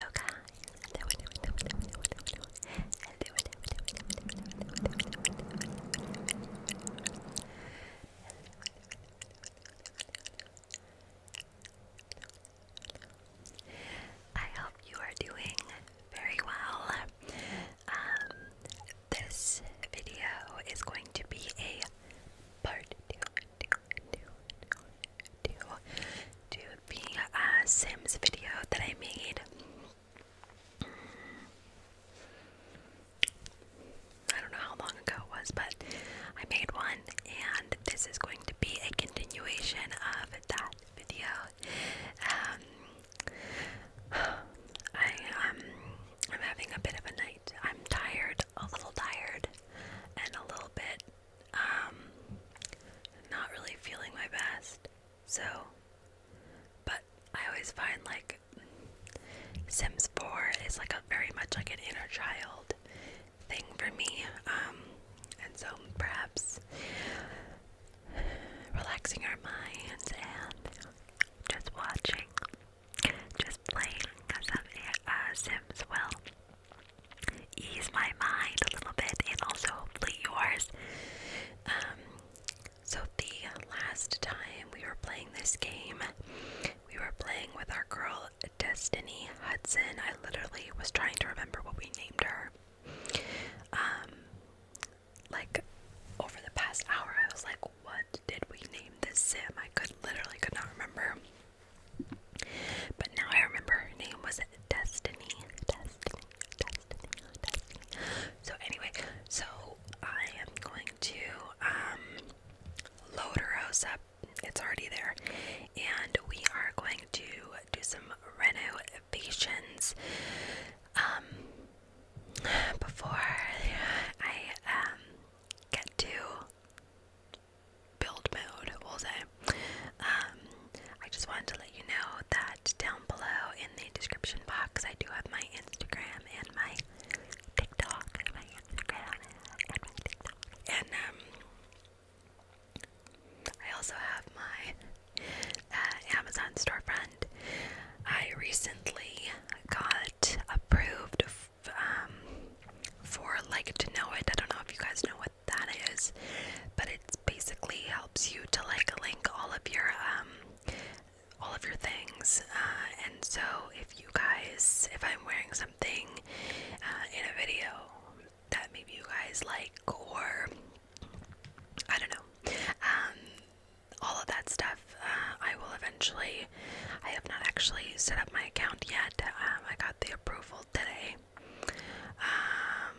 Hello guys, I hope you are doing very well. this video is going to be a part to do the uh, Sims video that I made. Mm. I don't know how long ago it was, but I made one, and this is going to be a continuation of that video. Um, um, I'm having a bit of a night. I'm tired, a little tired, and a little bit um, not really feeling my best. So, but I always find like Sims 4 is like a very much like an inner child thing for me. Um, and so perhaps relaxing our minds and just watching, just playing some uh, Sims well ease my mind a little bit and also hopefully yours. Um, so, the last time we were playing this game, we were playing with our girl Destiny Hudson. I literally was trying to remember what we named her. Um, like over the past hour, I was like, "What did we name this sim?" I could literally could not remember. But now I remember her name was Destiny. Destiny. Destiny. Destiny. So anyway, so I am going to um load her house up. It's already there. And we are going to do some renovations. Um before I um get to build mode, we um, I just wanted to let you know that down below in the description box, I do have my Instagram and my TikTok, and my Instagram and my TikTok, and um, I also have my uh, Amazon storefront. I recently got approved. Um, for like to know it, I don't know if you guys know what that is, but it basically helps you to like link all of your um all of your things. Uh, and so if you guys, if I'm wearing something uh, in a video that maybe you guys like, or I don't know, um, all of that stuff, uh, I will eventually. I have not actually set up my account yet. Um, I got the approval today um,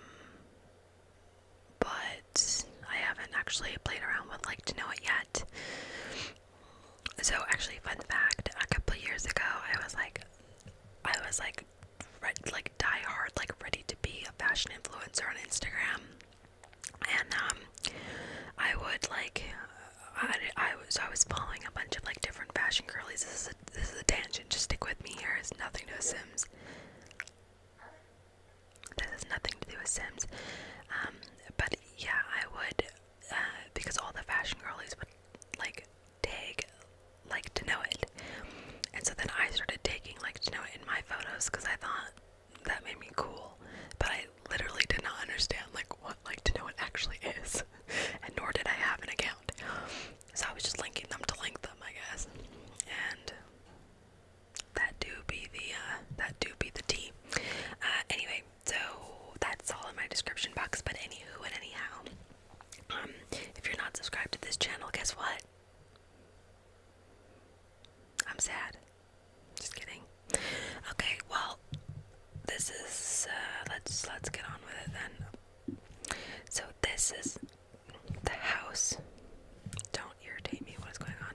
but I haven't actually played around with like to know it yet. So actually, fun fact: a couple years ago, I was like, I was like, like die hard, like ready to be a fashion influencer on Instagram, and um, I would like, I, I was so I was following a bunch of like different fashion girlies this is a tangent. Just stick with me here. It's nothing to do Sims. This has nothing to do with Sims. Um, but yeah, I would uh, because all the fashion girlies would like take like to know it, and so then I started taking like to know it in my photos because I thought that made me cool. But I literally did not understand like what like to know it actually is, and nor did I have an account. So I was just linking them to link them, I guess. And that do be the uh, that do be the T. Uh, anyway, so that's all in my description box. But anywho and anyhow, um, if you're not subscribed to this channel, guess what? I'm sad. Just kidding. Okay, well, this is uh, let's let's get on with it then. So this is the house. Don't irritate me. What is going on?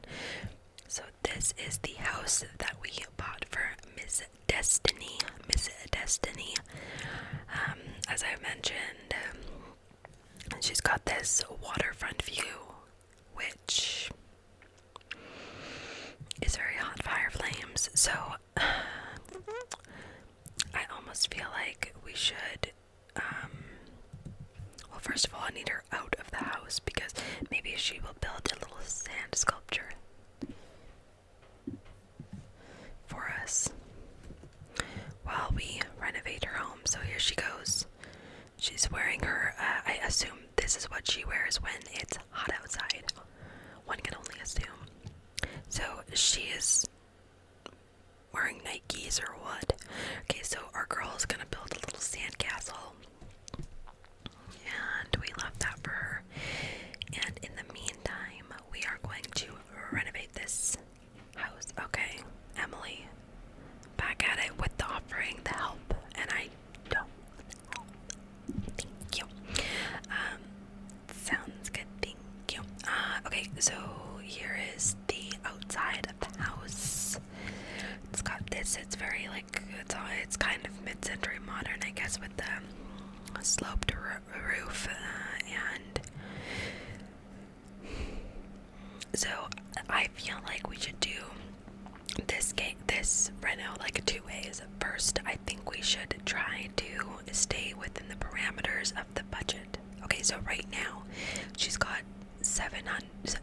So this is the house that we bought for Miss Destiny. Miss Destiny. Um, as I mentioned, um, she's got this waterfront view, which is very hot fire flames. So I almost feel like we should um, well first of all I need her out of the house because maybe she will build a little sand sculpture for us while we renovate her home. So here she goes. She's wearing her uh, I assume this is what she wears when it's hot outside. One can only assume. So she is wearing Nikes or what? Okay, so our girl is gonna build a little sandcastle. And we left that for her. And in the meantime, we are going to renovate this house. Okay, Emily, back at it with the offering, the help, and I don't. Thank you. Um, sounds good. Thank you. Uh, okay, so here is the outside of the house. It's got this. It's very like it's all, it's kind of mid-century modern, I guess, with the sloped roof uh, and. So I feel like we should do this game, this reno, like two ways. First, I think we should try to stay within the parameters of the budget. Okay, so right now she's got seven hundred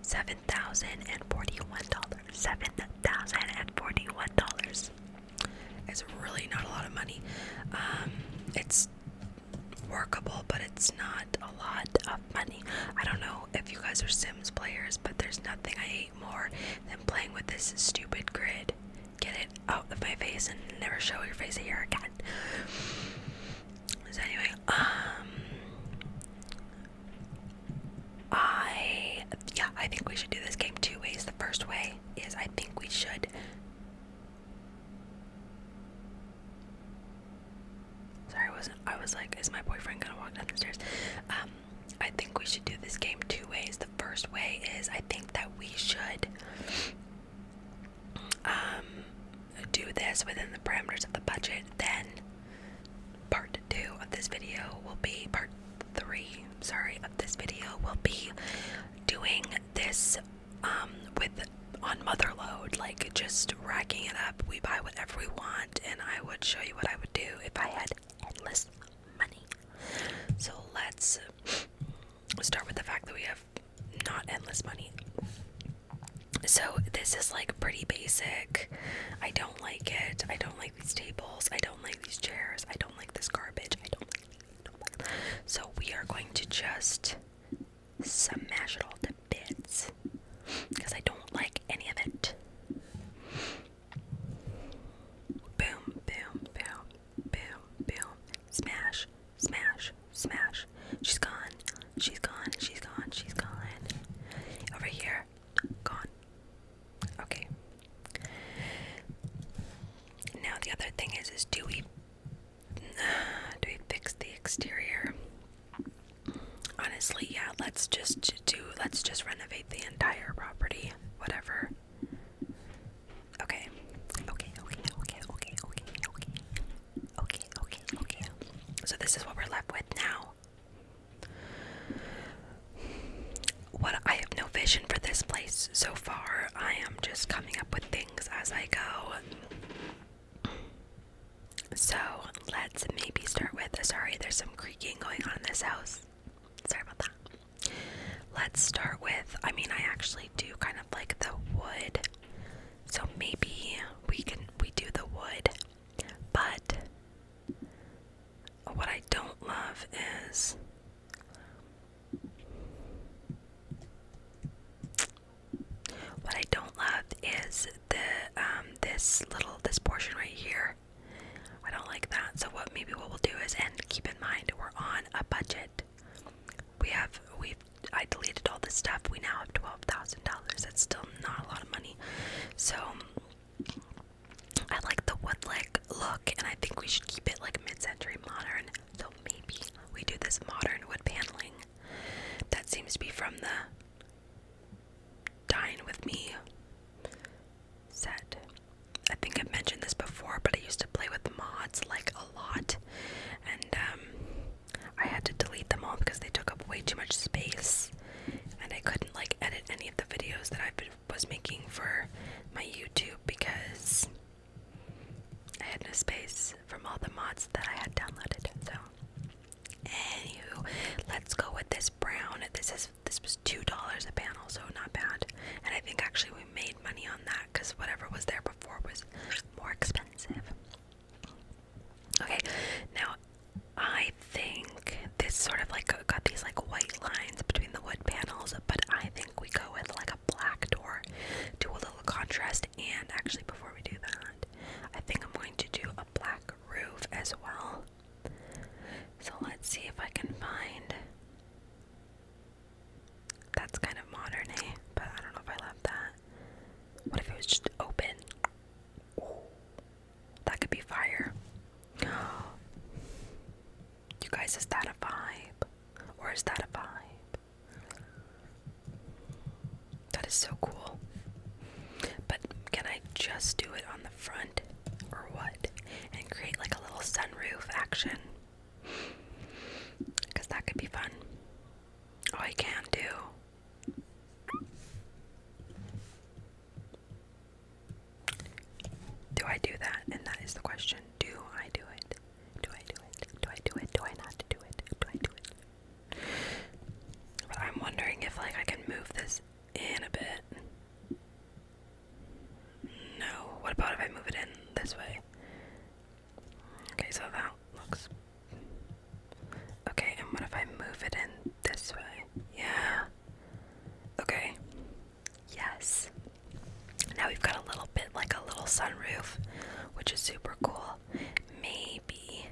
seven thousand and forty-one dollars. Seven thousand and forty-one dollars. It's really not a lot of money. Um, it's workable, but it's not a lot of money. I don't know if you guys are Sims players, but there's nothing I hate more than playing with this stupid grid. Get it out of my face and never show your face here again. So anyway, um I yeah, I think we should do this game two ways. The first way is I think we should Sorry, I wasn't I was like, is my boyfriend gonna walk down Um I think we should do this game two ways. The first way is I think that we should um, do this within the parameters of the budget, then part two of this video will be part three, sorry, of this video will be doing this um, with on motherload, like just racking it up. We buy whatever we want, and I would show you what I would do if I had endless money. So let's start with the fact that we have not endless money. So this is like pretty basic. I don't like it. I don't like these tables. I don't like these chairs. I don't like this garbage. I don't like, I do So we are going to just smash it all to bits because I don't like any of it. Boom, boom, boom, boom, boom, smash, Smash. Smash. She's gone. She's gone. She's gone. She's gone. Over here. Gone. Okay. Now the other thing is is do we do we fix the exterior? Honestly, yeah, let's just do let's just renovate the entire property. Whatever. Okay, okay, okay, okay, okay, okay. Okay, okay, okay. So this is what we're left with now. What I have no vision for this place so far. I am just coming up with things as I go. So let's maybe start with. Sorry, there's some creaking going on in this house. Sorry about that. Let's start with. I mean, I actually do kind of like the wood so maybe we can we do the wood. But what I don't love is what I don't love is the um this little this portion right here. I don't like that. So what maybe what we'll do is and keep in mind we're on a budget. We have we I deleted all this stuff. We now have twelve thousand dollars. That's still not a lot of money. So I like the woodlick look, and I think we should keep it like mid-century modern. So maybe we do this modern wood paneling. That seems to be from the Dine with Me set. I think I've mentioned this before, but I used to play with mods like a lot, and um, I had to delete them all because they took up way too much space, and I couldn't like edit any of the videos that I was making for my YouTube because I had no space from all the mods that I had downloaded. So, anywho, let's go with this brown. This is this was two dollars a panel, so not bad. And I think actually we made money on that because whatever was there was more expensive. Okay, now I think this sort of like got these like white lines between the wood panels, but I think we go with like a black door, do a little contrast, and actually before we do that, I think I'm going to do a black roof as well. So let's see if I can find. That's kind of modern, eh? But I don't know if I love that. What if it was just open? that could be fire. You guys, is that a vibe? Or is that a vibe? That is so cool. But can I just do it on the front or what? And create like a little sunroof action? Because that could be fun. Oh, I can do. Do I do that? And that is the question. Do I do it? Do I do it? Do I do it? Do I not do it? Do I do it? But I'm wondering if like I can move this in a bit. No. What about if I move it in this way? Okay, so that looks. Okay, and what if I move it in this way? Yeah. Okay. Yes. Now we've got a little bit like a little sunroof, which is super cool. Maybe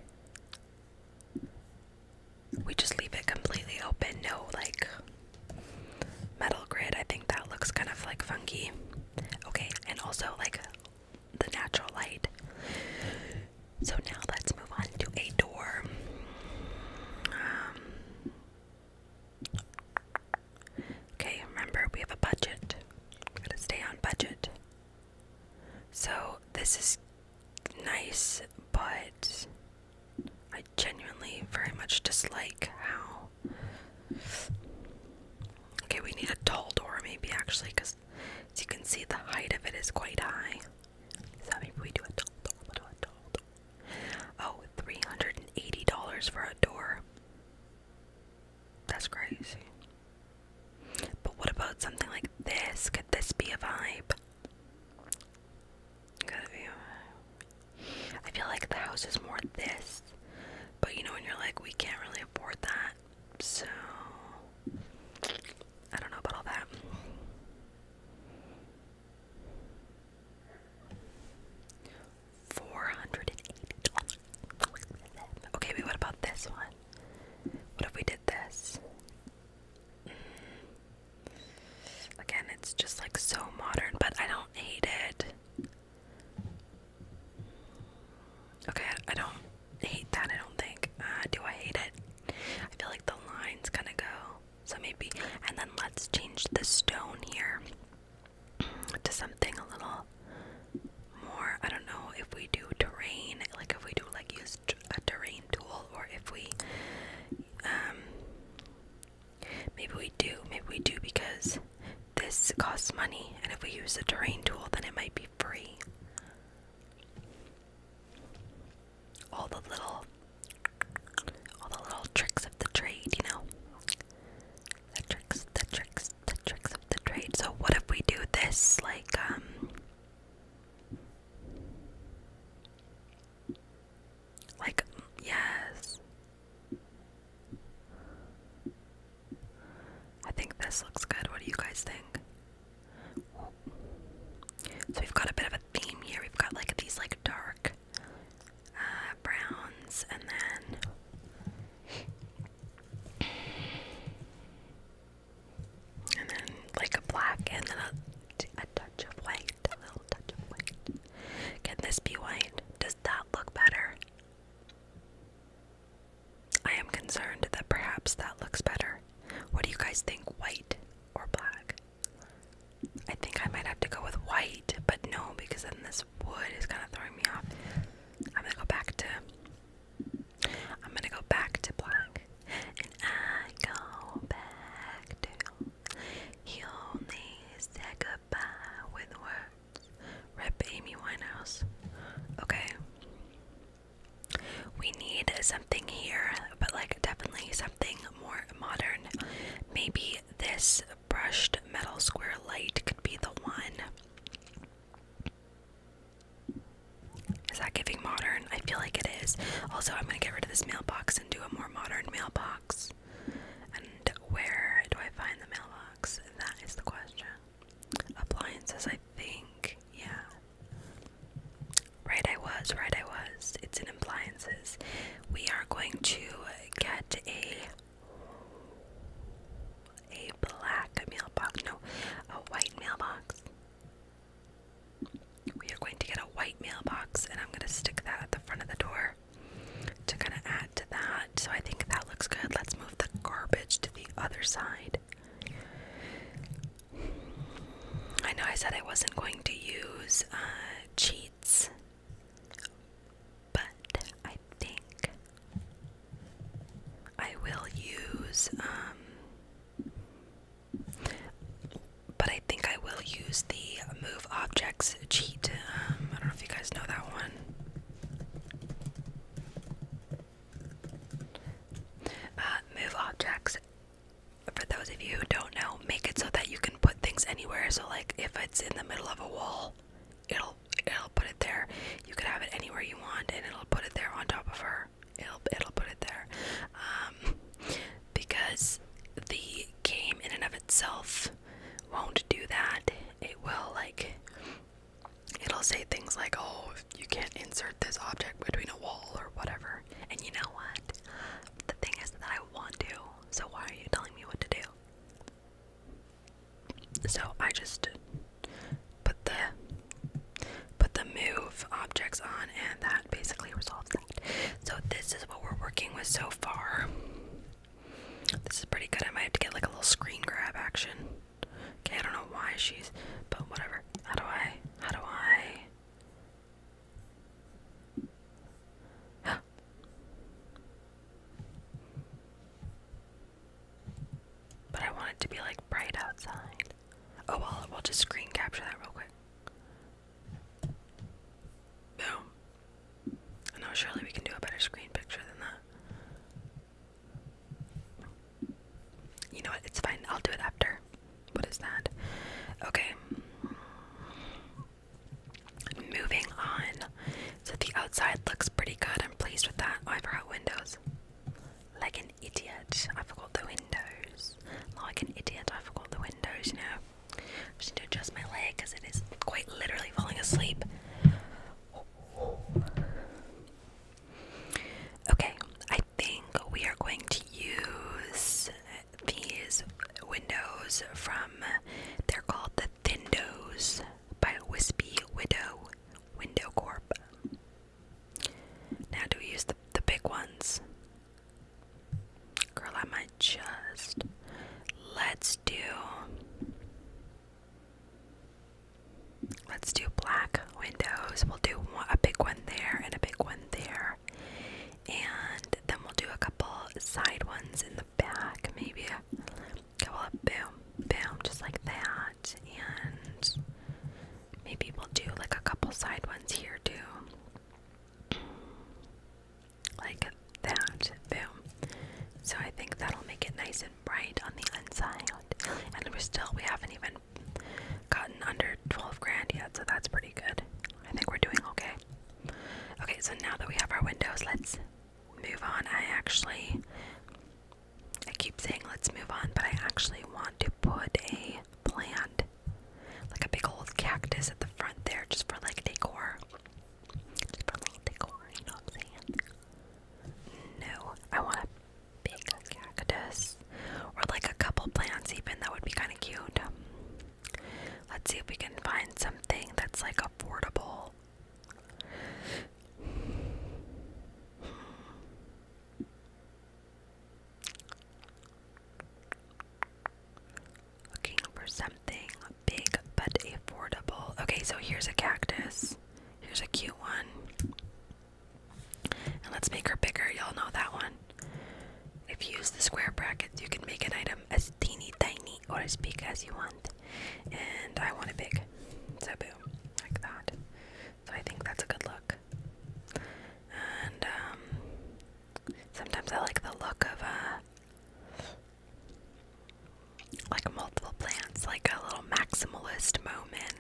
we just leave it completely open, no like metal grid. I think that looks kind of like funky. Okay, and also like the natural light. So now let's move on to a door. Um, okay, remember we have a budget. We gotta stay on budget. So this is nice, but I genuinely very much dislike how. Okay, we need a tall door, maybe actually, because this. As you can see, the height of it is quite high. So maybe we do a doll, doll, doll, doll. Oh, $380 for a door. That's crazy. But what about something like this? Could this be a vibe? got be a vibe. I feel like the house is more this. But you know, when you're like, we can't really afford that, so I don't know about all that. Four hundred and eighty Okay, wait, what about this one? What if we did this? Mm. Again, it's just like so modern, but I don't hate it. Okay, I don't hate that, I don't think. Uh, do I hate it? I feel like the line's gonna go. So maybe. And then let's change the stone here to something a little more. I don't know if we do terrain, like if we do like use a terrain tool, or if we. Um, maybe we do. Maybe we do because this costs money, and if we use a terrain tool, then it might be free. All the little all the little tricks of the trade, you know. The tricks, the tricks, the tricks of the trade. So what if we do this like um like yes. I think this looks good. What do you guys think? So we've got a bit of a theme here. We've got like these like dark uh, browns and then and then like a black and then a touch of white, a little touch of white. Can this be white? Does that look better? I am concerned that perhaps that looks better. What do you guys think, white or black? I think I might have to go with white, but no, because then this wood is kind of throwing me off. I'm gonna go back to. I'm gonna go back to black. And I go back to. He only said goodbye with words. Rep Amy Winehouse. Okay. We need something here, but like definitely something more modern. Maybe this brushed metal square light could be the one. Is that giving modern? I feel like it is. Also, I'm gonna get rid of this mailbox and do a more modern mailbox. And where do I find the mailbox? That is the question appliances, I think. Yeah. Right, I was. Right, I was. It's in appliances. We are going to get a a black mailbox. No, a white mailbox. We are going to get a white mailbox, and I'm going to stick that at the front of the door to kind of add to that. So I think that looks good. Let's move the garbage to the other side. I know I said I wasn't going to use uh, cheats, but I think I will use. Um, but I think I will use the move objects cheat. Um, I don't know if you guys know that one. Uh, move objects. For those of you who don't know, make it so that you can put things anywhere. So like if it's in the middle of a wall, it'll it'll put it there. You could have it anywhere you want, and it'll put it there on top of her. It'll it'll put it there. Um, because the game in and of itself won't do that. It will like it'll say things like, oh, you can't insert this object between a wall or whatever. And you know what? The thing is that I want to, so why are you telling me what to do? So I just put the put the move objects on and that basically resolves that. So this is what we're working with so far. This is pretty good. I might have to get like a little screen grab action. Okay, I don't know why she's, but whatever. How do I? How do I? But I want it to be like bright outside. Oh well, we'll just screen capture that real quick. Boom. No, surely we can do a better screen picture than that. You know what? It's fine. I'll do it after. What is that? Okay. Moving on. So the outside looks pretty good. I'm pleased with that. Oh, I forgot windows. Like an idiot. I forgot the windows. Like an idiot. I forgot the windows, you know. I just need to adjust my leg because it is quite literally falling asleep. Okay, I think we are going to use these windows from they're called the Thindos by Wispy Widow Window Corp. Now do we use the the big ones? Girl, I might just let's do Let's do black windows. We'll do a big one there and a big one there. And then we'll do a couple side ones in the back, maybe a couple of boom, boom, just like that. And maybe we'll do like a couple side ones here too. Like that, boom. So I think that'll make it nice and bright on the inside. And we're still, we haven't even gotten under 12 grand yet, so that's pretty good. I think we're doing okay. Okay, so now that we have our windows, let's move on. I actually, I keep saying let's move on, but I actually want to put a plant, like a big old cactus at the front there, just for like decor. Just for little decor, you know what I'm saying? No, I want big cactus, or like a couple plants, even that would be kind of cute. Let's see if we can find something that's like affordable. Looking for something big but affordable. Okay, so here's a cactus. Here's a cute one. And let's make her bigger. Y'all know that one. If you use the square brackets, you can make an item as teeny tiny or as big as you want. And I want it big. So boom, like that. So I think that's a good look. And um, sometimes I like the look of uh, like multiple plants, like a little maximalist moment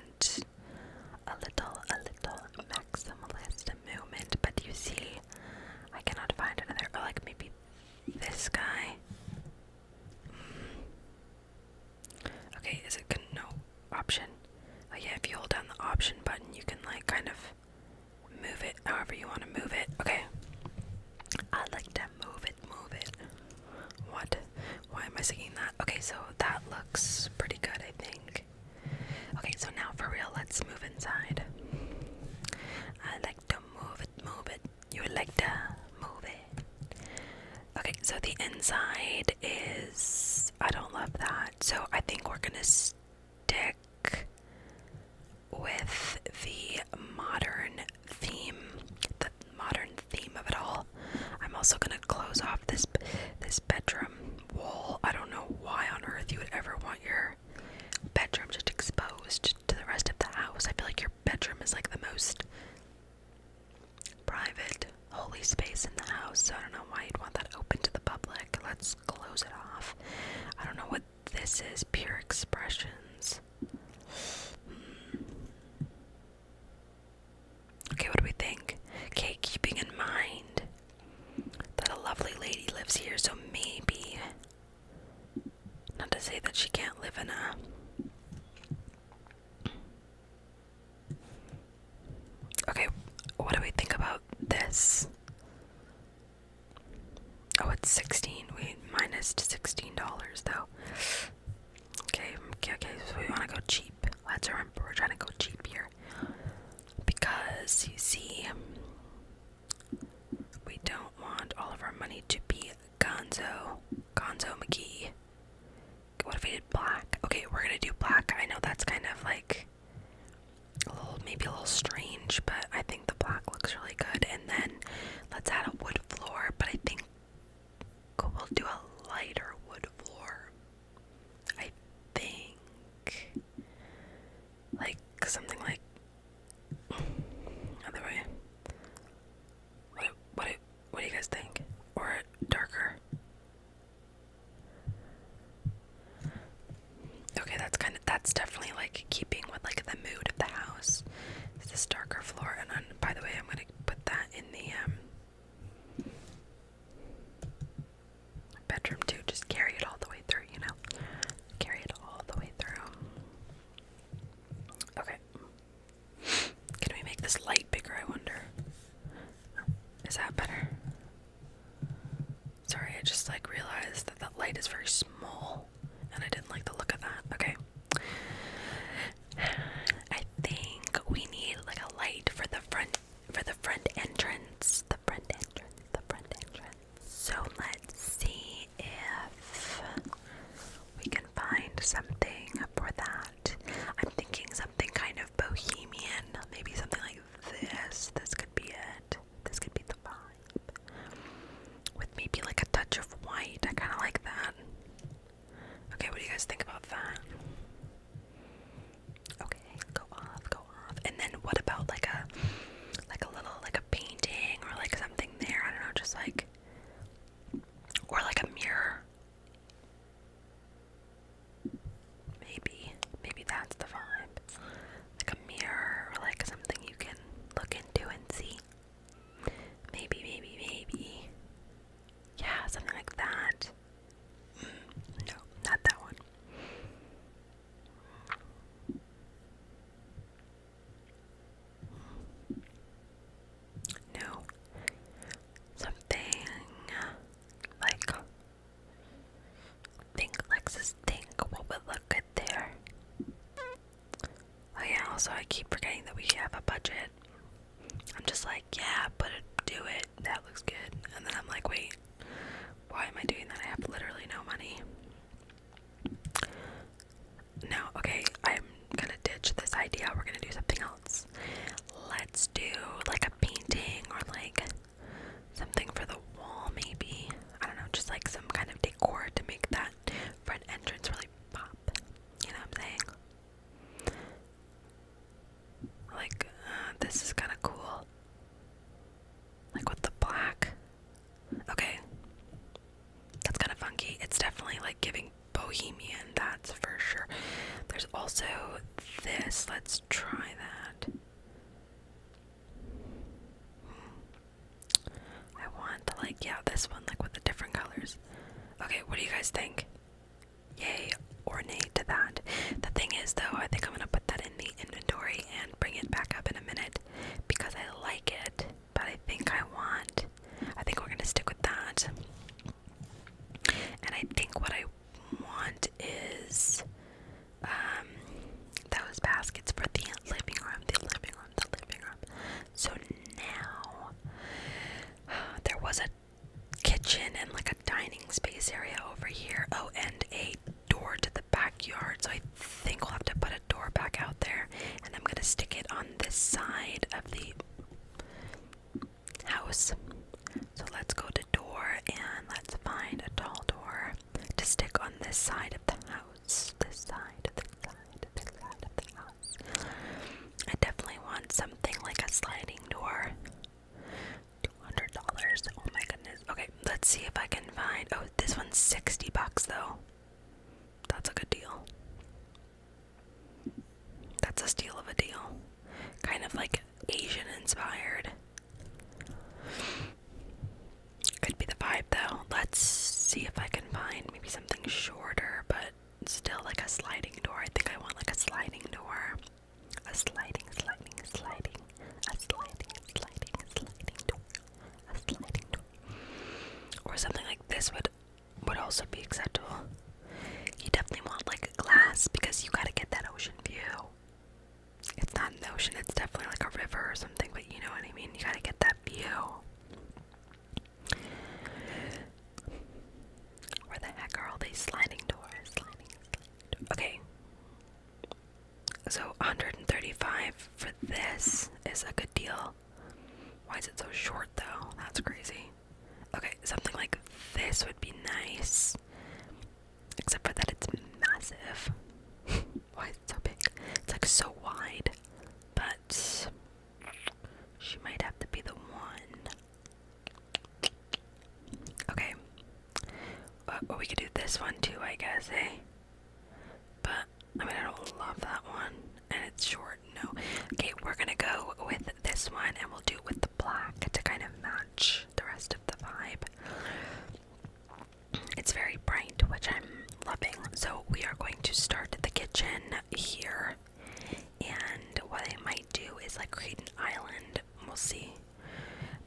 a little, a little maximalist movement. But you see, I cannot find another, Oh, like maybe this guy. Mm. Okay, is it con no option? Oh yeah, if you hold down the option button, you can like kind of move it however you want to move it. Okay, I like to move it, move it. What? Why am I singing that? Okay, so that looks pretty good, I think. Okay, so now for real, let's move inside. I like to move it, move it. You like to move it. Okay, so the inside is. I don't love that. So I think we're gonna stick with the modern theme, the modern theme of it all. I'm also gonna close off this this bedroom wall. I don't know why on earth you would ever want your bedroom just exposed to the rest of the house. I feel like your bedroom is like the most private, holy space in the house. So I don't know why you'd want that open to the public. Let's close it off. I don't know what this is. Pure expressions. Hmm. Okay, what do we think? Okay, keeping in mind that a lovely lady lives here, so maybe. Not to say that she can't live in a. Okay, what do we think about this? Oh, it's 16. We minus $16 though. Okay, okay, okay so we want to go cheap. Let's remember we're trying to go cheap here. Because you see, we don't want all of our money to be Gonzo. Gonzo McGee. What if we did black? Okay, we're gonna do black. I know that's kind of like a little, maybe a little strange, but I think the black looks really good. And then let's add a wood floor, but I think we'll do a lighter wood floor. I think. Like something like other way. What what what do you guys think? Or darker? Okay, that's kind of that's definitely like keeping with like the mood of the house. this darker floor, and by the way, I'm gonna put that in the um, Bedroom two, just carry it all the way through, you know? Carry it all the way through. Okay. Can we make this light bigger, I wonder? Is that better? Sorry, I just like realized that that light is very small and I didn't like the look of that. Okay. I think we need like a light for the front for the front entrance. The front entrance. The front entrance. So let's see if we can find something for that. I'm thinking something kind of bohemian. Maybe something like this. This could be it. This could be the vibe. With maybe like a touch of white. I kind of like that. Okay, what do you guys think about that? Okay, go off, go off. And then what about like a like a little like a painting or like something there? I don't know, just like or like a mirror. Maybe, maybe that's the vibe. Like a mirror or like something you can look into and see. Maybe, maybe, maybe. Yeah, something like that. Mm, no, not that one. No. Something like think Lexus think what would look good there. Oh yeah, also I keep forgetting that we have a budget. I'm just like, yeah, but do it. That looks good. And then I'm like, wait, why am I doing that? I have literally no money. No, okay, I'm gonna ditch this idea. We're gonna do something else. Let's do like a painting or like something for the wall, maybe. I don't know, just like some kind of decor to make that front entrance really pop. You know what I'm saying? Like, uh, this is kind of cool. Like with the black. Okay. That's kind of funky. It's definitely like giving bohemian, that's for sure. There's also this. Let's try that. I want to like, yeah, this one, like with the different colors. Okay, what do you guys think? yay or to that. The thing is, though, I think I'm gonna put that in the inventory and bring it back up in a minute because I like it, but I think I want. I think we're gonna stick with that. And I think what I want is um, those baskets for the living room, the living room, the living room. So now there was a kitchen and like a dining space area over here. Oh, and a door to the backyard. So I think we'll have to put a door back out there. And I'm going to stick it on this side of the house. So let's go to door and let's find a tall door to stick on this side of the house. This side, this side, this side of the house. I definitely want something like a sliding door. $200. Oh my goodness. Okay, let's see if I can find. Oh, this one's 60 bucks though. That's a good deal. That's a steal of a deal. Kind of like Asian inspired. Could be the vibe though. Let's see if I can find maybe something shorter, but still like a sliding door. I think I want like a sliding door. A sliding, sliding, sliding, a sliding, sliding, sliding door, a sliding door, or something like this would would also be acceptable. You definitely want like a glass because you gotta get that ocean view. It's not an ocean; it's definitely like a river or something. But you know what I mean. You gotta get that view. Where the heck are all these sliding doors? Okay. So 135 for this is a good deal. Why is it so short though? That's crazy. Okay, something like this would be nice. Except for that it's massive. Why is so big? It's like so wide. But she might have to be the one. Okay. we could do this one too, I guess, hey. Eh? But, I mean, I don't love that one. And it's short, no. Okay, we're gonna go with this one and we'll do with the black to kind of match the rest of the vibe. It's very bright, which I'm loving. So, we are going to start the kitchen here. And what I might do is like create an island. We'll see.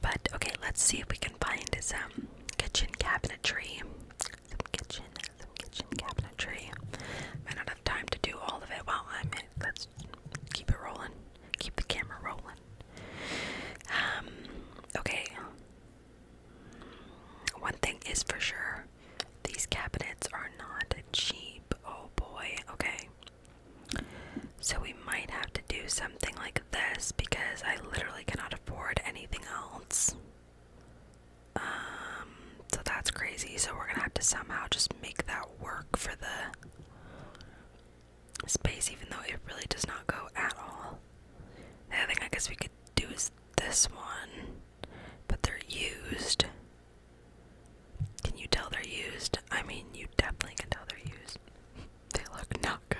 But okay, let's see if we can find some kitchen cabinetry. Some kitchen, some kitchen cabinetry. might not have time to do all of it while I'm in. Let's keep it rolling. Keep the camera rolling. Um, okay. One thing is for sure, these cabinets are not cheap. Oh boy, okay. So we might have to do something like this because I literally cannot afford anything else. Um, so that's crazy. So we're gonna have to somehow just make that work for the space, even though it really does not go at all. The other thing I guess we could do is this one, but they're used. Can you tell they're used? I mean, you definitely can tell they're used they look not good.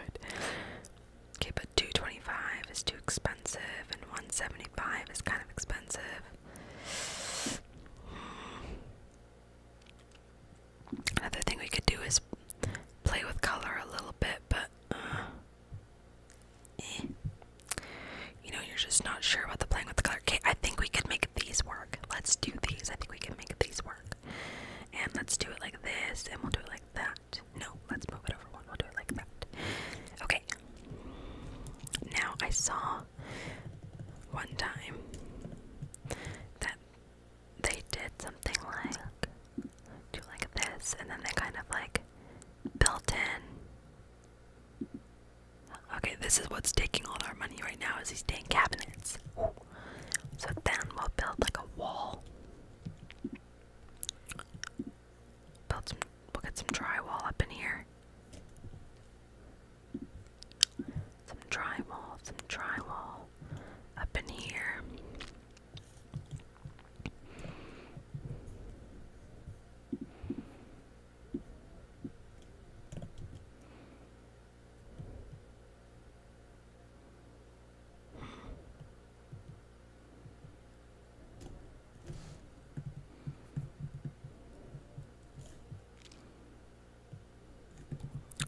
Okay, but 225 is too expensive and 175 is kind of expensive. Another thing we could do is play with color a little bit, but uh, eh. you know, you're just not sure about the playing with the color. Okay, I think we could make these work. Let's do these. I think we can make these work and let's do it like this and we'll do it like that no let's move it over one we'll do it like that okay now i saw one time that they did something like do like this and then they kind of like built in okay this is what's taking all our money right now is these dang cabinets so then we'll build like a wall. Build some we'll get some drywall up in here. Some drywall, some drywall up in here.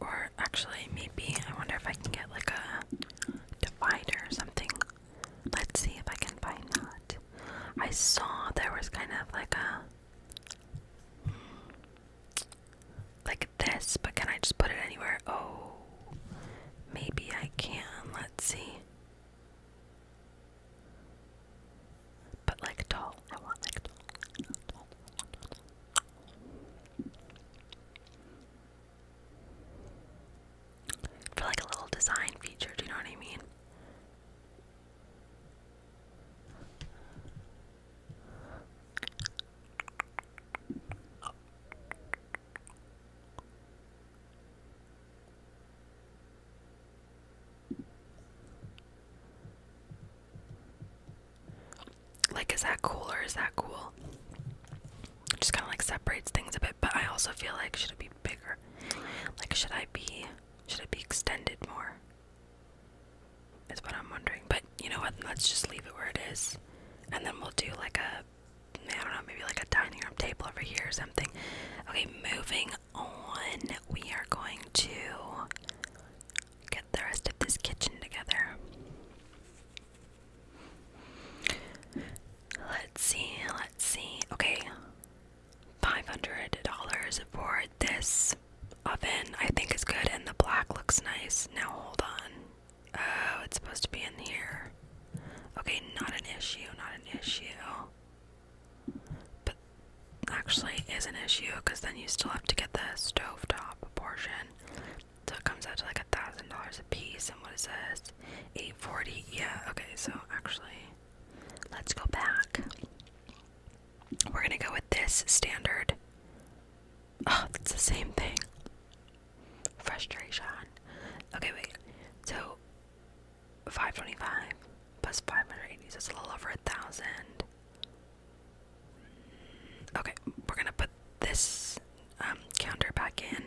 Or actually, maybe I wonder if I can get like a divider or something. Let's see if I can find that. I saw there was kind of like a like this, but can I just put it anywhere? Oh, maybe I can. Let's see. But like tall. I want like tall. For like a little design feature, do you know what I mean? Like, is that cool or is that cool? It just kind of like separates things a bit, but I also feel like should it be bigger? Like, should I be should it be extended more? That's what I'm wondering. But you know what? Let's just leave it where it is, and then we'll do like a I don't know, maybe like a dining room table over here or something. Okay, moving on. We are going to get the rest of this kitchen together. Let's see, let's see. Okay, $500 for this oven I think is good and the black looks nice. Now hold on. Oh, it's supposed to be in here. Okay, not an issue, not an issue. But actually is an issue because then you still have to get the stovetop portion. So it comes out to like a thousand dollars a piece and what is this? Eight forty. Yeah, okay, so actually let's go back. We're gonna go with this standard Oh, ah, that's the same thing. Frustration. Okay, wait. So, 525 plus 580, is it's a little over a thousand. Okay, we're gonna put this um, counter back in.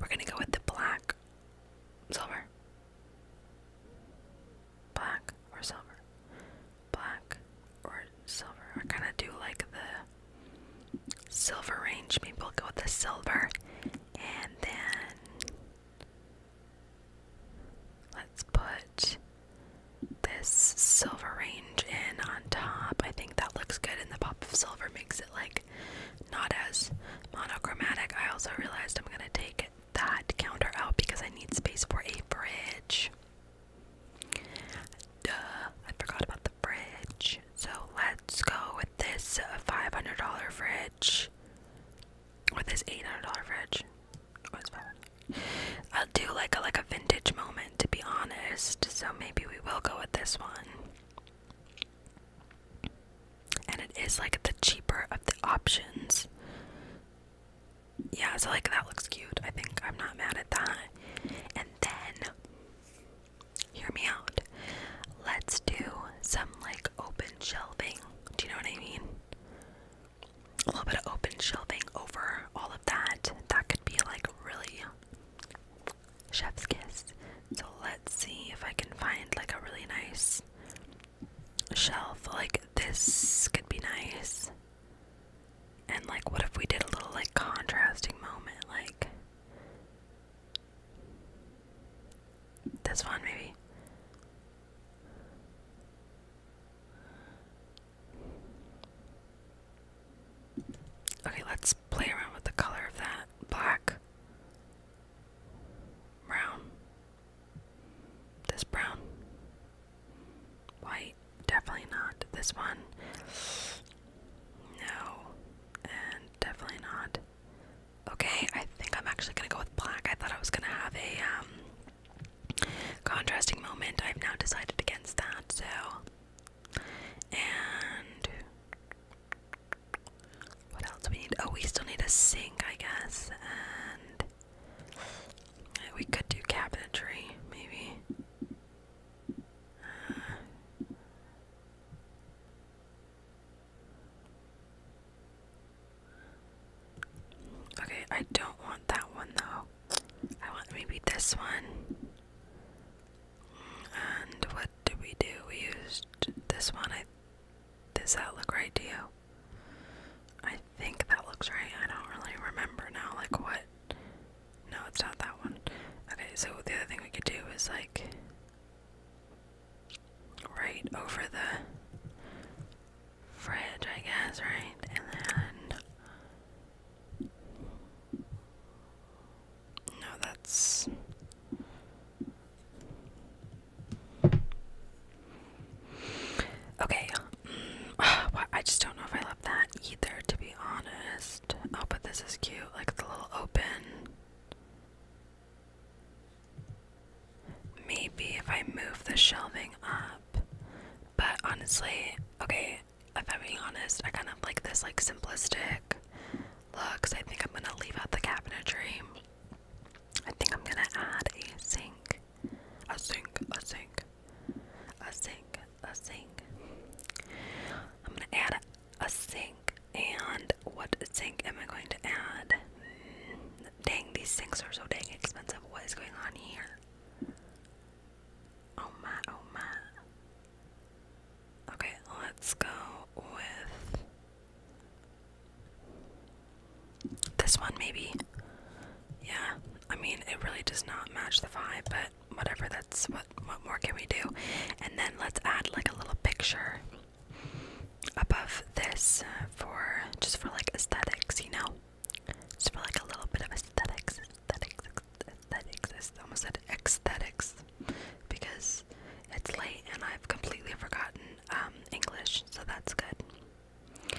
We're gonna go with the black, silver, black, or silver black or silver. I kind of do like the silver range. Maybe we'll go with the silver. And then let's put this silver range in on top. I think that looks good, and the pop of silver makes it like not as monochromatic. I also realized I'm going to take that counter out because I need space for a bridge. Duh, I forgot about the fridge. So let's go with this $500 fridge. Or this $800 fridge. Oh, I'll do like a, like a vintage moment, to be honest. So maybe we will go with this one. And it is like the cheaper of the options. Yeah, so like that looks cute. I think I'm not mad at that then, hear me out. Let's do some like open shelving. Do you know what I mean? A little bit of open shelving over all of that. That could be like really chef's kiss. So let's see if I can find like a really nice shelf. Like this could be nice. And like what if we did a little like contrasting moment like that's fun, maybe Okay, let's play around with the color of that. Black. Brown. This brown. White. Definitely not. This one. No. And definitely not. Okay, I think I'm actually gonna go with black. I thought I was gonna have a um, contrasting moment. I've now decided against that, so. And. What else do we need? Oh, we still need a sink, I guess. And. We could do cabinetry, maybe. Okay, I don't want that one though. I want maybe this one. And what did we do? We used this one. I does that look right to you? I think that looks right. I don't really remember now like what no, it's not that one. Okay, so the other thing we could do is like right over the fridge, I guess, right? And then no, that's okay. Mm, I just don't know if I love that either, to be honest. Oh, but this is cute. Like the little open. Maybe if I move the shelving up. But honestly, okay, if I'm being honest, I kind of like this like simplistic looks. I think I'm gonna leave out the cabinetry. I think I'm gonna add a sink. A sink, a sink, sink, a sink, a sink. I'm gonna add a, a sink, and what sink am I going to add? Dang, these sinks are so dang expensive. What is going on here? Oh my, oh my. Okay, let's go with. This one, maybe. Yeah, I mean, it really does not match the vibe, but whatever that's what what more can we do and then let's add like a little picture above this uh, for just for like aesthetics you know just for like a little bit of aesthetics aesthetics aesthetics almost said aesthetics because it's late and I've completely forgotten um, English so that's good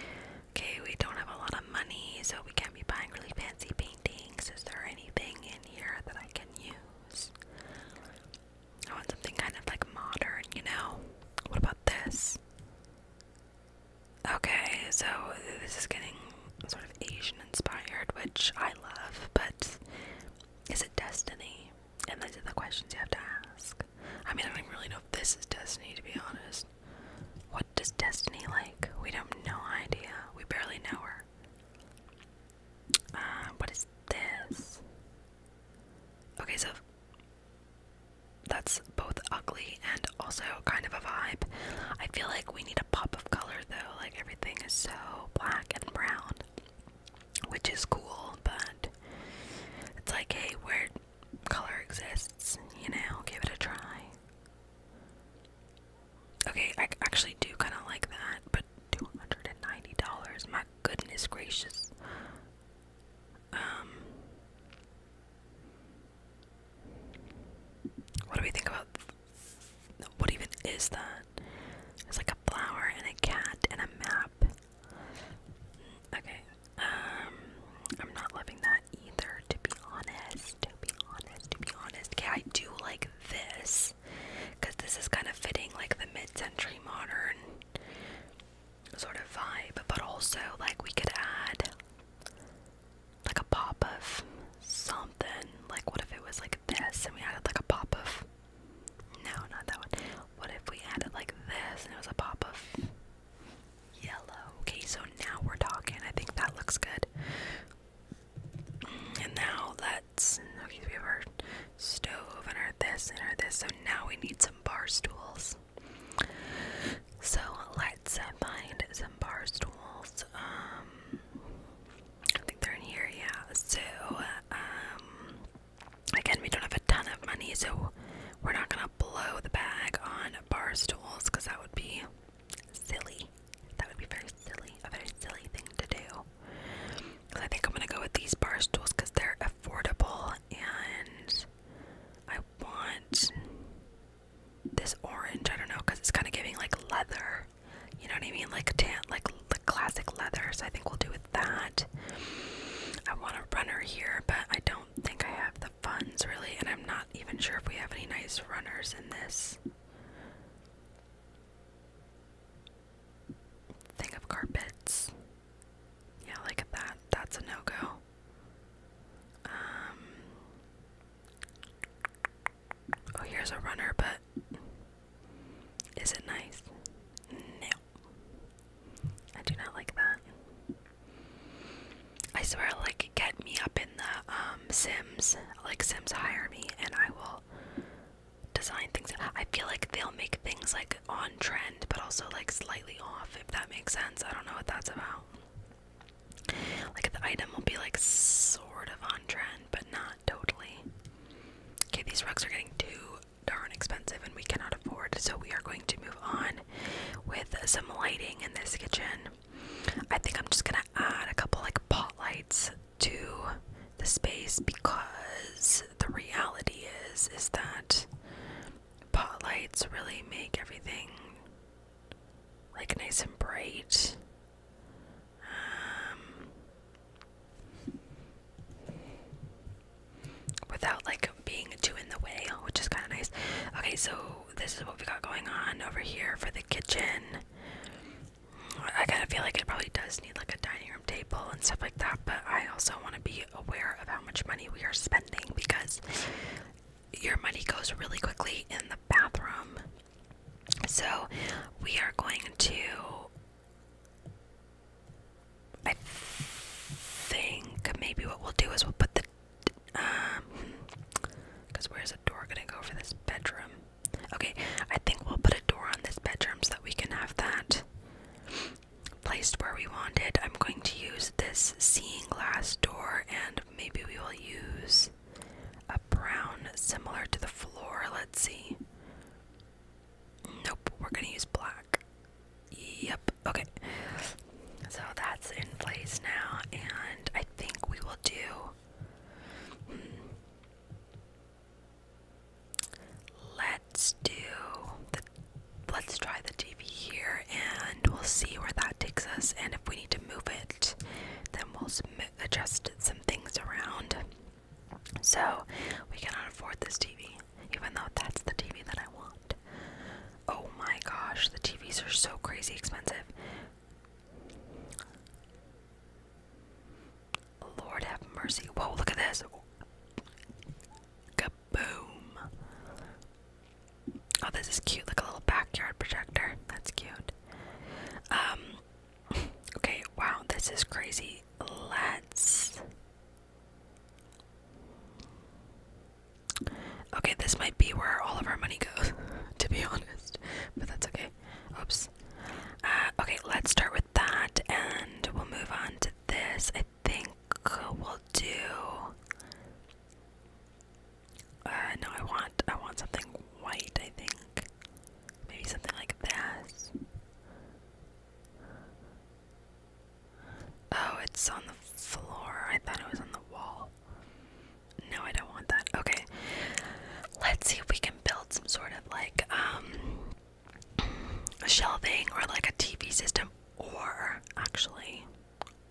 okay we don't have a lot of money so we can't be buying really fancy paint is there anything in here that I can use? I want something kind of like modern, you know? What about this? Okay, so this is getting sort of Asian inspired, which I love, but is it destiny? And these are the questions you have to ask. I mean, I don't really know if this is destiny, to be honest. What does destiny like? We don't know idea. We barely know her. Uh, what is this? Okay, so that's both ugly and also kind of a vibe. I feel like we need a pop of color though, like everything is so black and brown, which is cool, but it's like, hey, where color exists, you know, give it a try. Okay, I actually do kind of like that, but $290, my goodness gracious. Um, what do we think about what even is that? It's like a flower and a cat and a map. Okay, um, I'm not loving that either, to be honest to be honest, to be honest. Okay, I do like this because this is kind of fitting like the mid century modern sort of vibe, but also like we could add like a pop of something. Like, what if it was like this and we added like a pop of no, not that one. What if we added like this and it was a pop of yellow? Okay, so now we're talking. I think that looks good. And now let's okay, so we have our stove and our this and our this. So now we need some bar stools. So let's uh, find some bar stools. Um, I think they're in here. Yeah. So um, again, we don't have a ton of money, so we're not gonna blow the bag on bar stools because that would be silly. That would be very silly, a very silly thing to do. I think I'm gonna go with these bar stools because they're affordable and I want this orange. I don't know because it's kind of giving like leather. You know what I mean? Like tan, like the classic leather. So I think we'll do with that. I want a runner here, but I don't think I have the funds really, and I'm not even sure if we have any nice runners in this thing of carpets. Yeah, look that. That's a no-go. Um, oh, here's a runner, but is it nice? No. I do not like that. I swear, like, get me up in the um, Sims, like Sims hire me, and I will design things. I feel like they'll make things like on trend, but also like slightly off, if that makes sense. I don't know what that's about. Like the item will be like sort of on trend, but not totally. Okay, these rugs are getting too darn expensive and we cannot afford, so we are going to move on with some lighting in this kitchen. I think I'm just gonna add a couple like pot lights to the space because the reality is is that pot lights really make everything like nice and bright. Um, without like being too in the way, which is kind of nice. Okay, so this is what we got going on over here for the kitchen. I kind of feel like it probably does need like a dining room table and stuff like that, but I also want to be aware of how much money we are spending because your money goes really quickly in the bathroom. So we are going to. I think maybe what we'll do is we'll put the. Um. Because where's the door gonna go for this bedroom? Okay, I think we'll put a door on this bedroom so that we can have that placed where we want it. I'm going to use this seeing glass door and maybe we will use a brown similar to the floor. Let's see. Nope, we're going to use black. Yep, okay. So that's in place now, and I think we will do. Hmm, Let's do the let's try the TV here and we'll see where that takes us and if we need to move it then we'll adjust some things around. So, we cannot afford this TV even though that's the TV that I want. Oh my gosh, the TVs are so crazy expensive. Lord have mercy. Whoa, look at this. Kaboom. Oh, this is cute. Like a little backyard projector. That's cute. Um, okay, wow, this is crazy. Let's. Okay, this might be where all of our money goes, to be honest. But that's okay. Oops. Uh, okay, let's start with that and we'll move on to this. I think we'll do. Uh, no, I want I want something white. I think maybe something like this. Oh, it's on the floor. I thought it was on the wall. No, I don't want that. Okay, let's see if we can build some sort like um shelving or like a TV system or actually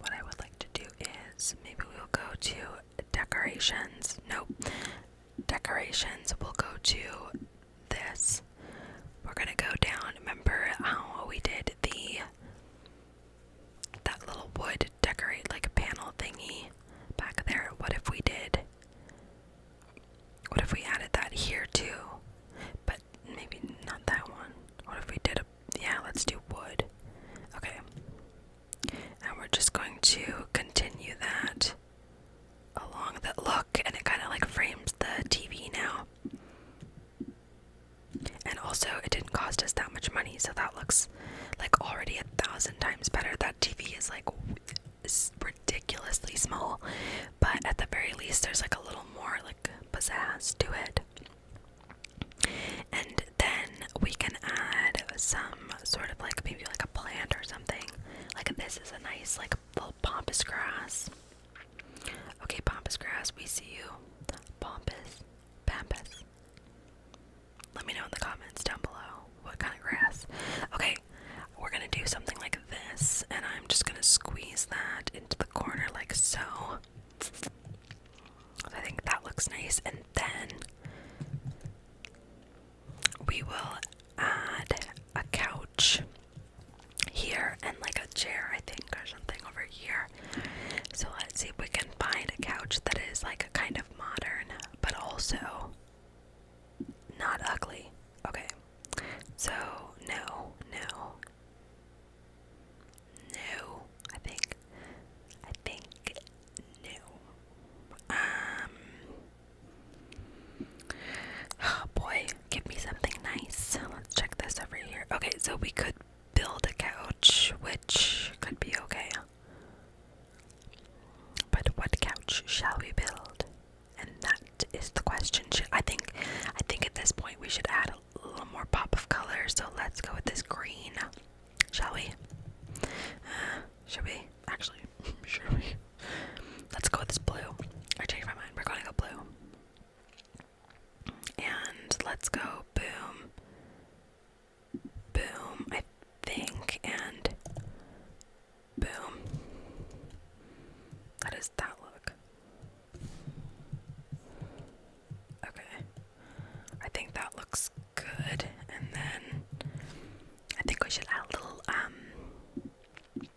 what I would like to do is maybe we'll go to decorations. Nope. Decorations. We'll go to this. We're gonna go down. Remember how we did the that little wood decorate like a panel thingy back there? What if we did what if we added that here too? But maybe not that one. What if we did a. Yeah, let's do wood. Okay. And we're just going to continue that along that look, and it kind of like frames the TV now. And also, it didn't cost us that much money, so that looks like already a thousand times better. That TV is like ridiculously small, but at the very least, there's like a little more like pizzazz to it. And then we can add some sort of like maybe like a plant or something. Like this is a nice like little pompous grass. Okay, pompous grass, we see you. Pompous, pampas, let me know in the comments down below what kind of grass. Okay, we're gonna do something like this, and I'm just gonna squeeze that into the corner like so. I think that looks nice, and then we will add a couch here and like a chair, I think, or something over here. So let's see if we can find a couch that is like a kind of modern, but also not ugly. Okay. So, no, no. No, I think. I think no. Um. Oh boy, give me something nice. Let's check this over here. Okay, so we could build a couch, which could be okay. But what couch shall we build? And that is the question. I think, I think at this point we should add a little more pop of color. So let's go with this green, shall we? Uh, we? Actually, should we? Let's go with this blue. I changed my mind. We're going to go blue. And let's go boom, boom. I think and Boom. How does that look? Okay. I think that looks good. And then I think we should add a little um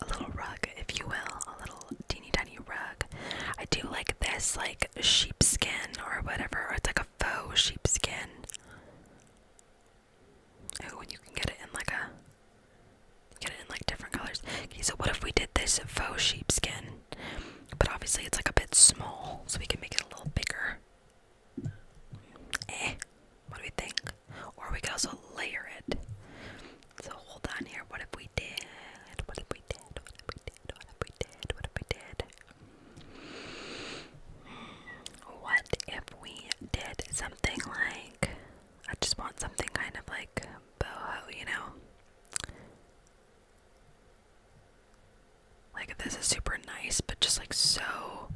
a little rug, if you will, a little teeny tiny rug. I do like this like sheepskin or whatever, it's like a faux sheepskin. Oh, and you can get it in like a get it in like different colors. Okay, so what if we did this faux sheepskin? But obviously it's like a bit small, so we can make it a little bigger. Eh, what do we think? Or we could also layer it. So hold on here. What if we did? What if we did? What if we did? What if we did? What if we did? what if we did something like I just want something kind of like boho, you know? Like this is super nice, but just like so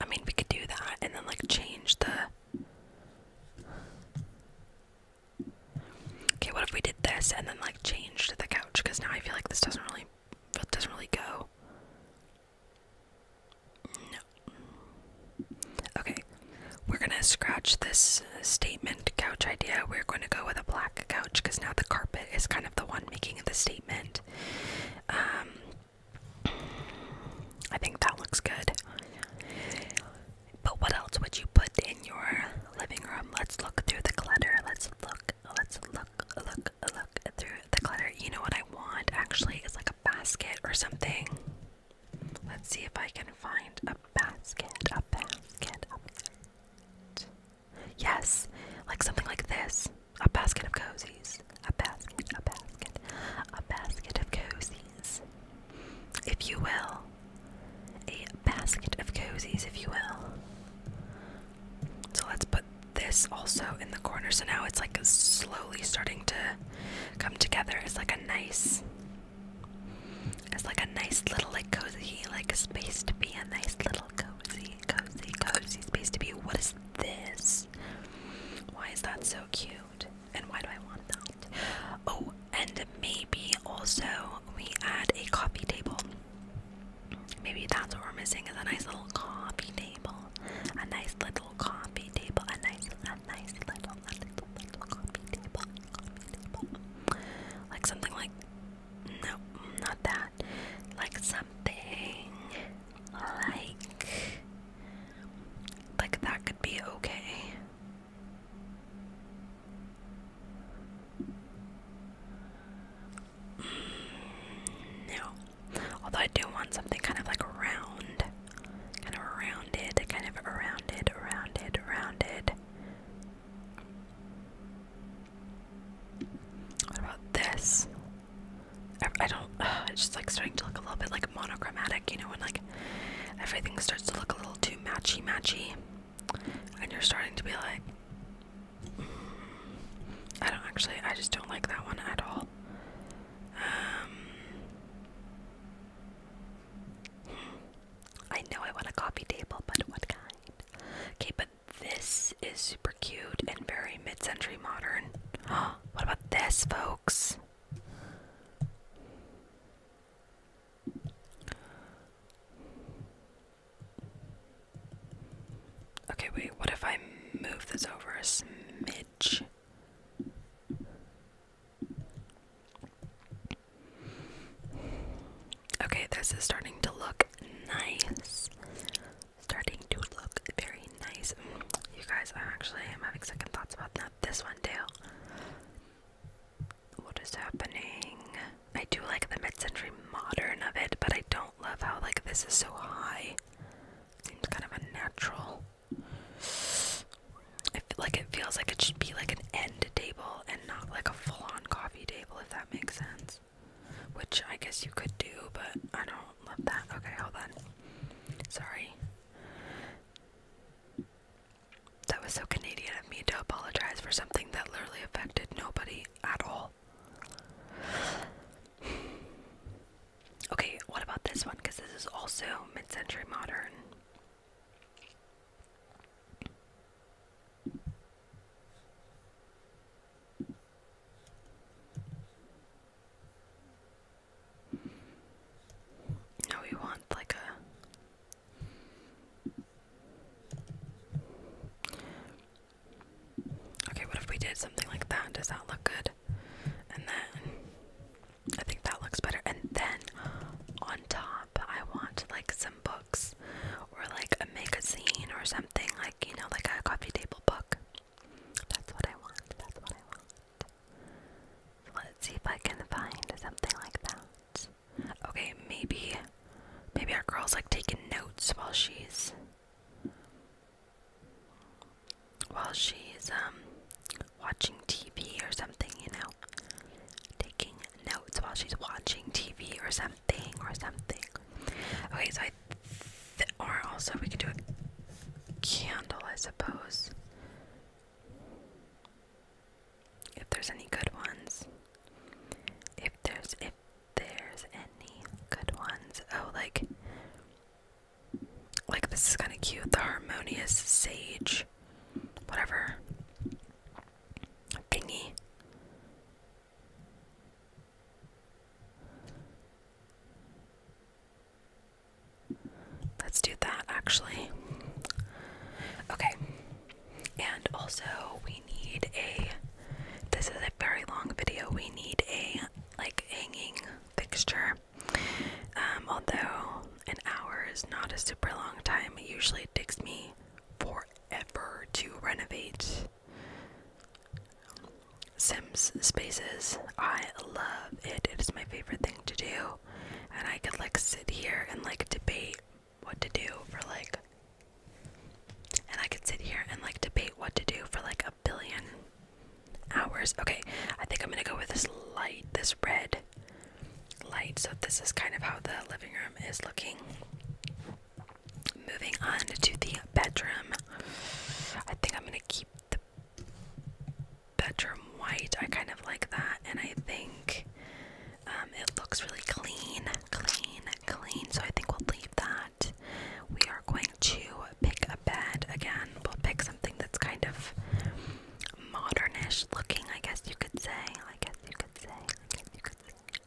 I mean we could do that and then like change the Okay, what if we did this and then like changed the couch? Because now I feel like this doesn't really but doesn't really go. No. Okay, we're gonna scratch this uh, statement couch idea. We're going to go with a black couch because now the carpet is kind of the one making the statement. Um, I think that looks good. But what else would you put in your living room? Let's look through the clutter. Let's look. Let's look. Look look, through the clutter. You know what I want actually is like a basket or something. Let's see if I can find a basket, a basket, a basket. Yes, like something like this. A basket of cozies. A basket, a basket, a basket of cozies. If you will. A basket of cozies, if you will. So let's put this also in the corner. So now it's like slowly starting to come together. It's like a nice, it's like a nice little like cozy like space to be. A nice little cozy, cozy, cozy space to be. What is this? Why is that so cute? And why do I want that? Oh, and maybe also we add a coffee table. Maybe that's what we're missing is a nice little coffee table. A nice little coffee table. A nice a nice little a little little coffee table. Coffee table. Like something like no, not that. Like something like like that could be okay. No. Although I do want something kind of like round. Kind of rounded, kind of rounded, rounded, rounded. What about this? I don't. Uh, it's just like starting to look a little bit like monochromatic, you know, when like everything starts to look a little too matchy matchy, and you're starting to be like, I don't actually, I just don't like that one at all. Um, I know I want a coffee table, but what kind? Okay, but this is super cute and very mid century modern. what about this, folks? Okay, wait, what if I move this over a smidge? Okay, this is starting to look nice. Starting to look very nice. You guys, I actually am having second thoughts about that. This one too. What is happening? I do like the mid-century modern of it, but I don't love how like this is so high. It seems kind of unnatural. I feel like it feels like it should be like an end table and not like a full-on coffee table, if that makes sense. Which I guess you could do, but I don't love that. Okay, hold on. Sorry. That was so Canadian of me to apologize for something that literally affected nobody at all. Okay, what about this one? Because this is also mid century modern. No, we want like a Okay, what if we did something like that? Does that look good? And then I think that looks better. And then on top, I want like some books or like a magazine or something like, you know, like a coffee table book. That's what I want. That's what I want. So let's see if I can find something like that. Okay, maybe maybe our girl's like taking notes while she's while she's um watching TV or something, you know, taking notes while she's watching TV or something or something. Okay, so I th or also we could do a candle, I suppose. If there's any good ones. If there's if there's any good ones. Oh, like, like this is kind of cute. The harmonious sage, whatever thingy. Let's do that actually. Okay. And also, we need a. This is a very long video. We need a like hanging fixture. Um, although an hour is not a super long time, it usually takes me forever to renovate Sims spaces. I love it. It is my favorite thing to do. And I could like sit here and like debate what to do for like and I could sit here and like debate what to do for like billion hours. Okay, I think I'm gonna go with this light, this red light. So, this is kind of how the living room is looking. Moving on to the bedroom. I think I'm gonna keep the bedroom white. I kind of like that, and I think um, it looks really clean, clean, clean. So I think we'll leave that we are going to pick a bed again. We'll pick something that's kind of modernish looking, I guess you could say. I guess you could say. I guess you could say.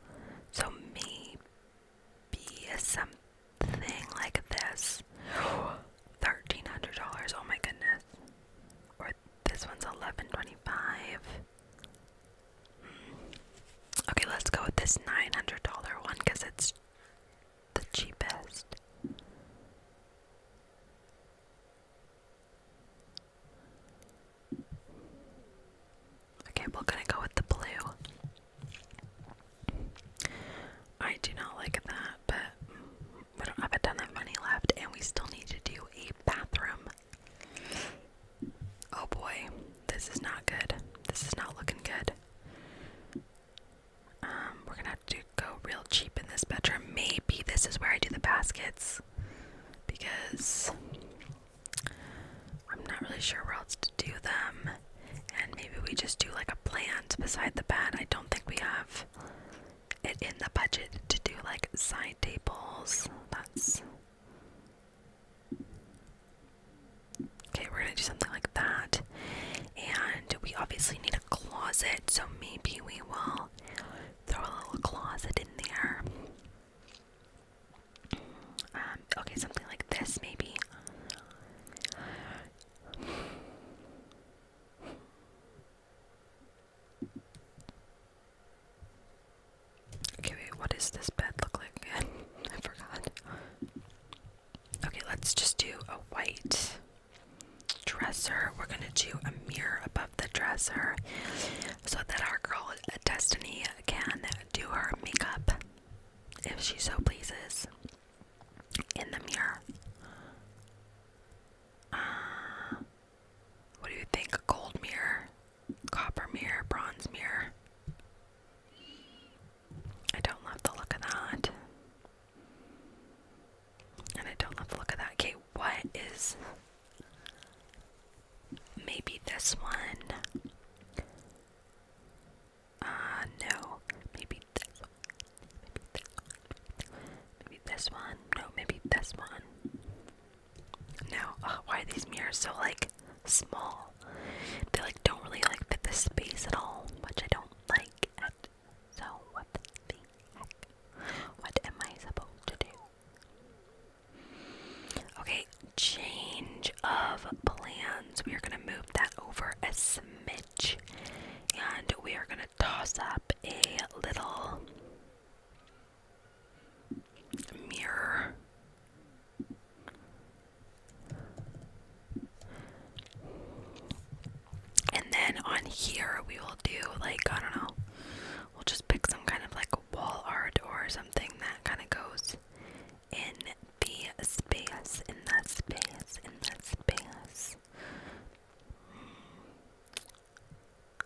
So maybe something like this. Thirteen hundred dollars. Oh my goodness. Or this one's eleven twenty-five. Hmm. Okay, let's go with this nine hundred dollar one because it's the cheapest. Okay, we're gonna go with the blue. I do not like that, but we don't have a ton of money left, and we still need to do a bathroom. Oh boy, this is not good. This is not looking good. Um, we're gonna have to go real cheap in this bedroom. Maybe this is where I do the baskets because I'm not really sure where else to do them. And maybe we just do like a plant beside the bed. I don't think we have it in the budget to do like side tables. That's Okay, we're gonna do something like that. And we obviously need a closet, so maybe we will throw a little closet in there. Um, okay, something like this, maybe. Okay, what does this bed look like again? I forgot. Okay, let's just do a white dresser. We're gonna do a mirror above the dresser so that our girl uh, Destiny can do her makeup if she so pleases in the mirror. Uh, what do you think? Gold mirror, copper mirror, bronze mirror. I don't love the look of that. And I don't love the look of that. Okay, what is maybe this one? Uh, no. Maybe this one. Maybe this one. Maybe this one. No, maybe this one. No. Oh, why are these mirrors so, like, small? They like don't really like fit this space at all, which I don't like. So what the heck? What am I supposed to do? Okay, change of plans. We are gonna move that over a smidge, and we are gonna toss up a little mirror and then on here, we will do like, I don't know, we'll just pick some kind of like wall art or something that kind of goes in the space, in the space, in the space.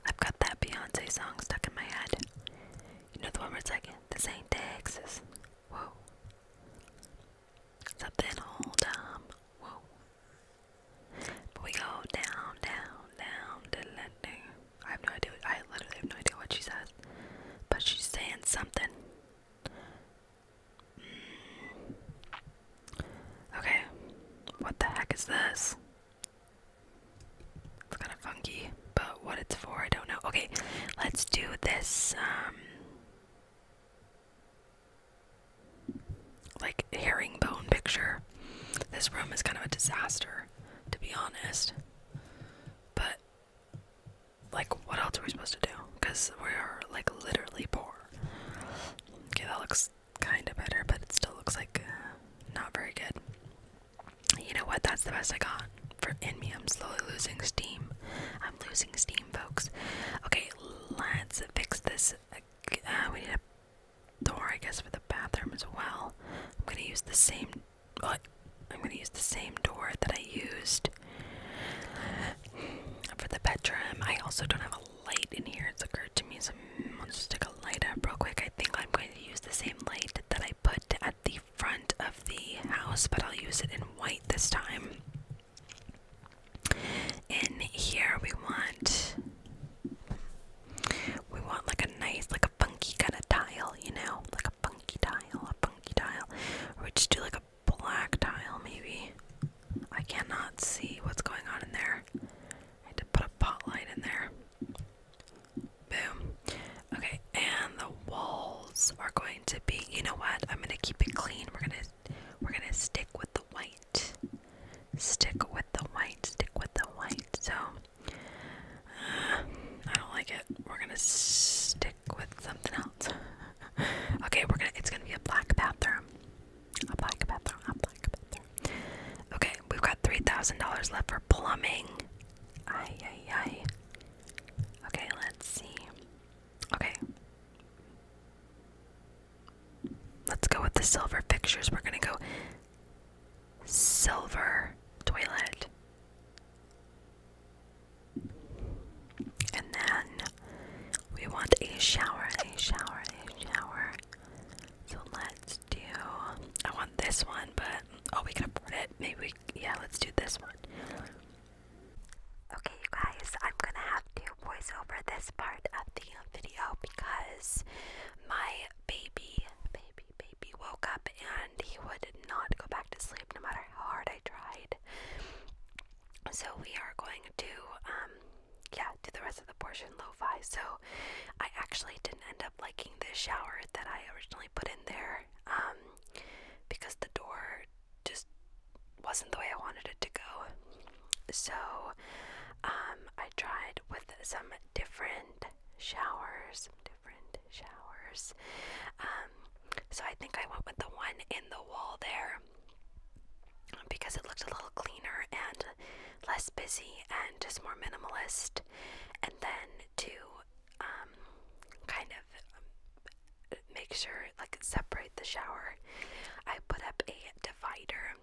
I've got that Beyonce song stuck in my head. You know the one where it's like, this ain't Texas. Whoa something whole time. Um, whoa. But we go down, down, down, down, down. I have no idea. What, I literally have no idea what she says, but she's saying something. Mm. Okay, what the heck is this? It's kind of funky, but what it's for, I don't know. Okay, let's do this. Um, like herringbone picture. This room is kind of a disaster, to be honest. But like what else are we supposed to do? Because we are like literally poor. Okay, that looks kinda better, but it still looks like uh, not very good. You know what? That's the best I got. For in me, I'm slowly losing steam. I'm losing steam, folks. Okay, let's fix this. Uh, we need a door, I guess, for the bathroom as well. I'm gonna use the same. Oh, I'm gonna use the same door that I used for the bedroom. I also don't have a light in here. It's occurred to me, so I'll just stick a light up real quick. I think I'm going to use the same light that I put at the front of the house, but I'll use it in white this time in here we want we want like a nice like a funky kind of tile you know like a funky tile a funky tile or we just do like a black tile maybe I cannot see what's going on in there I need to put a pot light in there boom okay and the walls are going to be you know what I'm gonna keep it clean we're gonna we're gonna stick with the white. Stick with the white. Stick with the white. So uh, I don't like it. We're gonna stick with something else. okay, we're gonna. It's gonna be a black bathroom. A black bathroom. A black bathroom. Okay, we've got three thousand dollars left for plumbing. Ay ay ay. Okay, let's see. Okay, Let's go with the silver fixtures. We're going to go silver toilet. And then we want a shower, a shower, a shower. So let's do. I want this one, but oh, we can afford it. Maybe we, yeah, let's do this one. Okay, you guys, I'm gonna have to voice over this part of the video because my baby, baby, baby woke up and he would not go back to sleep no matter how hard I tried. So we are going to, um, yeah, do the rest of the portion lo-fi. So I actually didn't end up liking the shower that I originally put in there, um, because the door just wasn't the way I wanted it to go. So um, I tried with some different showers, different showers. Um, so I think I went with the one in the wall there because it looked a little cleaner and less busy and just more minimalist. And then to um, kind of make sure like separate the shower. I put up a divider,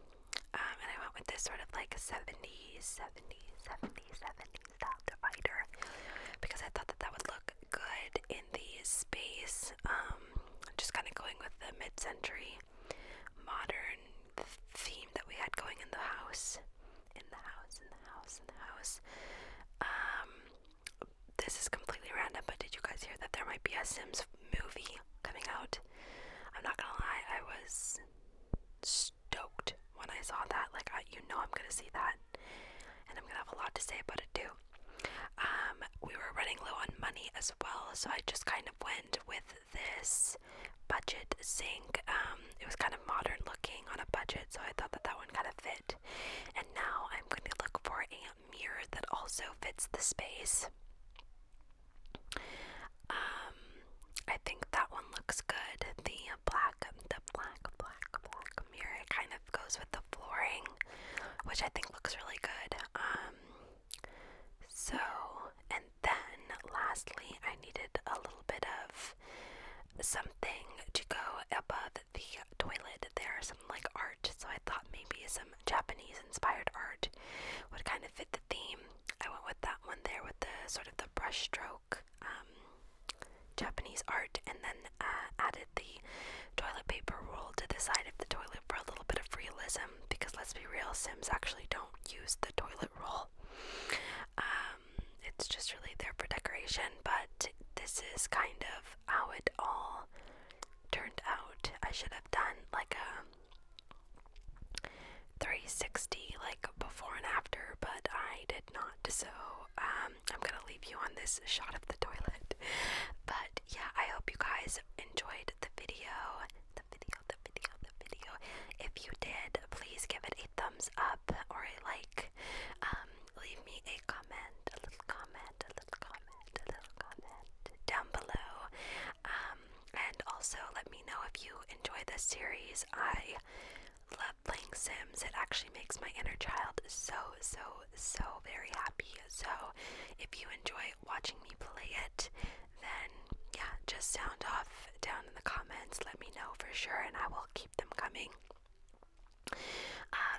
um, and I went with this sort of like 70, 70, 70, 70 style divider because I thought that that would look good in the space. Um, just kind of going with the mid-century modern theme that we had going in the house, in the house, in the house, in the house. Um, this is completely random, but did you guys hear that there might be a Sims movie coming out? I'm not gonna lie, I was stoked when I saw that. Like, you know, I'm gonna see that, and I'm gonna have a lot to say about it too. Um, we were running low on money as well, so I just kind of went with this budget sink. Um, it was kind of modern looking on a budget, so I thought that that one kind of fit. And now I'm going to look for a mirror that also fits the space. Um, I think that one looks good. The black, the black, black, black mirror it kind of goes with the flooring, which I think looks really good. Um, so, and then lastly, I needed a little bit of something to go above the toilet there, so like art, so I thought maybe some Japanese inspired art would kind of fit the theme. I went with that one there with the sort of the brushstroke um, Japanese art, and then uh, added the toilet paper roll to the side of the toilet for a little bit of realism. Because let's be real, Sims actually don't use the toilet roll. Um, it's just really there for decoration, but this is kind of how it all turned out. I should have done like a 360 like before and after, but I did not. So um, I'm gonna leave you on this shot of the toilet. But yeah, I hope you guys enjoyed the video. The video, the video, the video. If you did, please give it a thumbs up or a like. Um, leave me a comment, a little comment, down below. Um, and also let me know if you enjoy this series. I love playing Sims. It actually makes my inner child so, so, so very happy. So if you enjoy watching me play it, then yeah, just sound off down in the comments. Let me know for sure, and I will keep them coming. Uh,